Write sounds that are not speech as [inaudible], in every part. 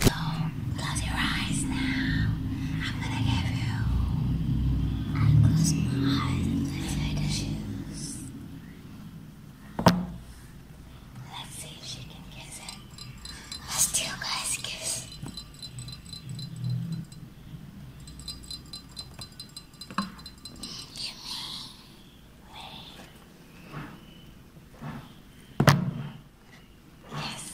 So close your eyes now. I'm gonna give you. I close my eyes and place her Let's see if she can kiss it. I'll still guys kiss. Give me. Wait. Yes.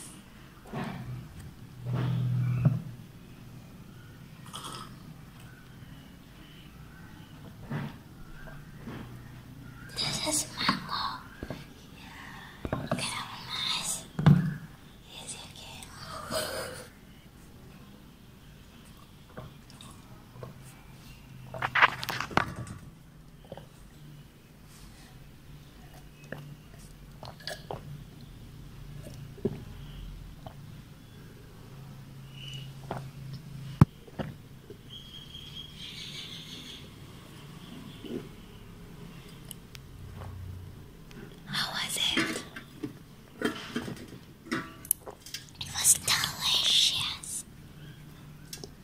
This is mango. Yeah. Get out of my eyes. Yes, how was it? It was delicious.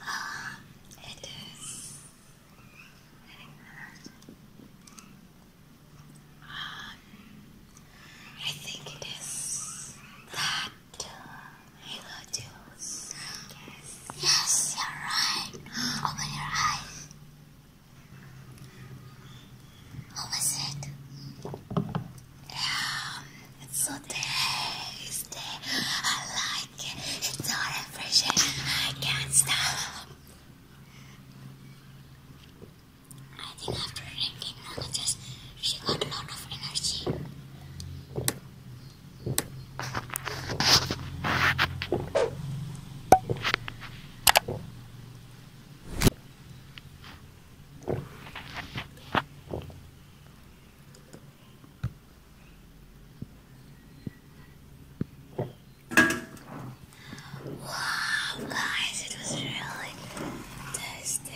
Ah, it is very I think it is that mango juice. Yes. yes, you're right. Open your eyes. What was it? Um, it's so tasty. I like it. It's so refreshing. I can't stop. I think after drinking Nana just she got a lot of energy. Wow, guys, it was really tasty.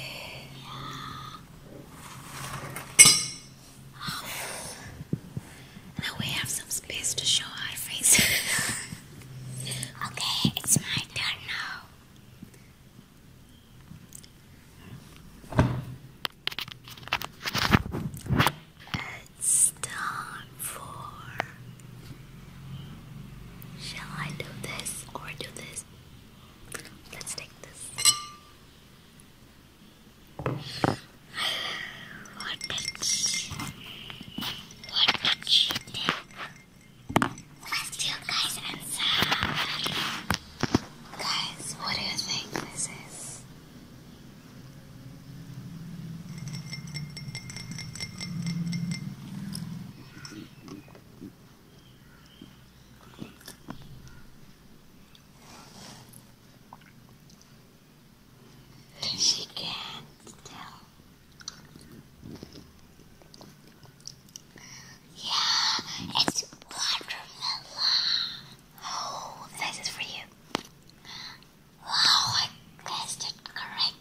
Now we have some space to show our faces. [laughs] Okay, it's my turn now. It's time for. Shall I do this or do this? Let's take this. What what did she think? Let's do guys, and sour. Guys, what do you think this is? She can't tell. Yeah, it's watermelon. Oh, this is for you. Wow, oh, I guessed it correctly.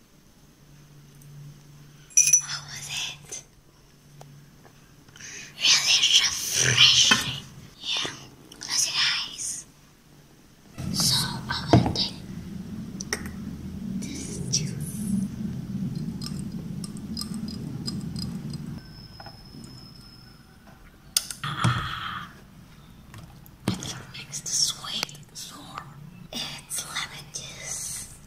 How was it? Really refreshing. Yeah, close your eyes. So I will take this juice. Ah, it makes the sweet sour. It's lemon juice.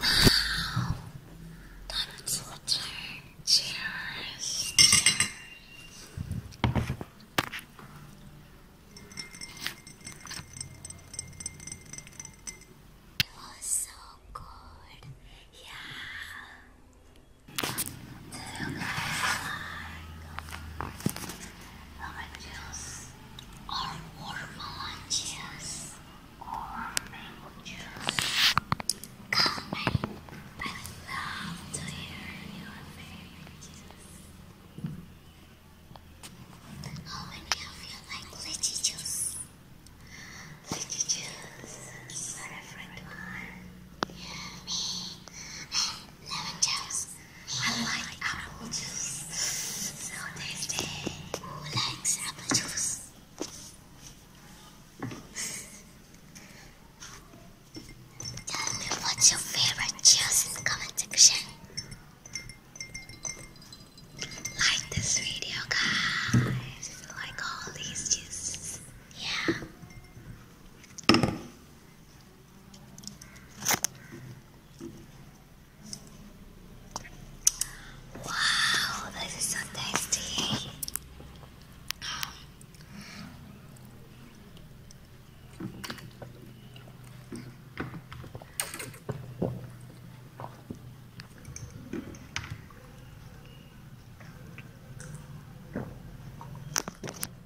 Wow, that's so Cheers. It was so good. Yeah. Do you guys like orange juice? or watermelon juice or mango juice. Comment. I love to hear your favorite juice. How many of you like lychee juice? Lychee juice is my favorite one. Me and lemon juice. I like apple juice. So tasty. Who likes apple juice? Tell me what's your favorite juice in the comment section. Like this video, guys. Like all these juices. Yeah. Wow, this is so tasty.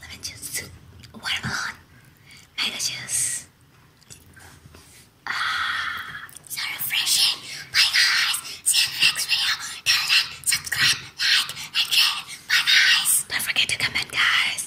lemon juice, watermelon, mango juice. Ah, so refreshing. Bye guys. See you next video. Tell them, subscribe, like, and share. Bye guys. Don't forget to comment, guys.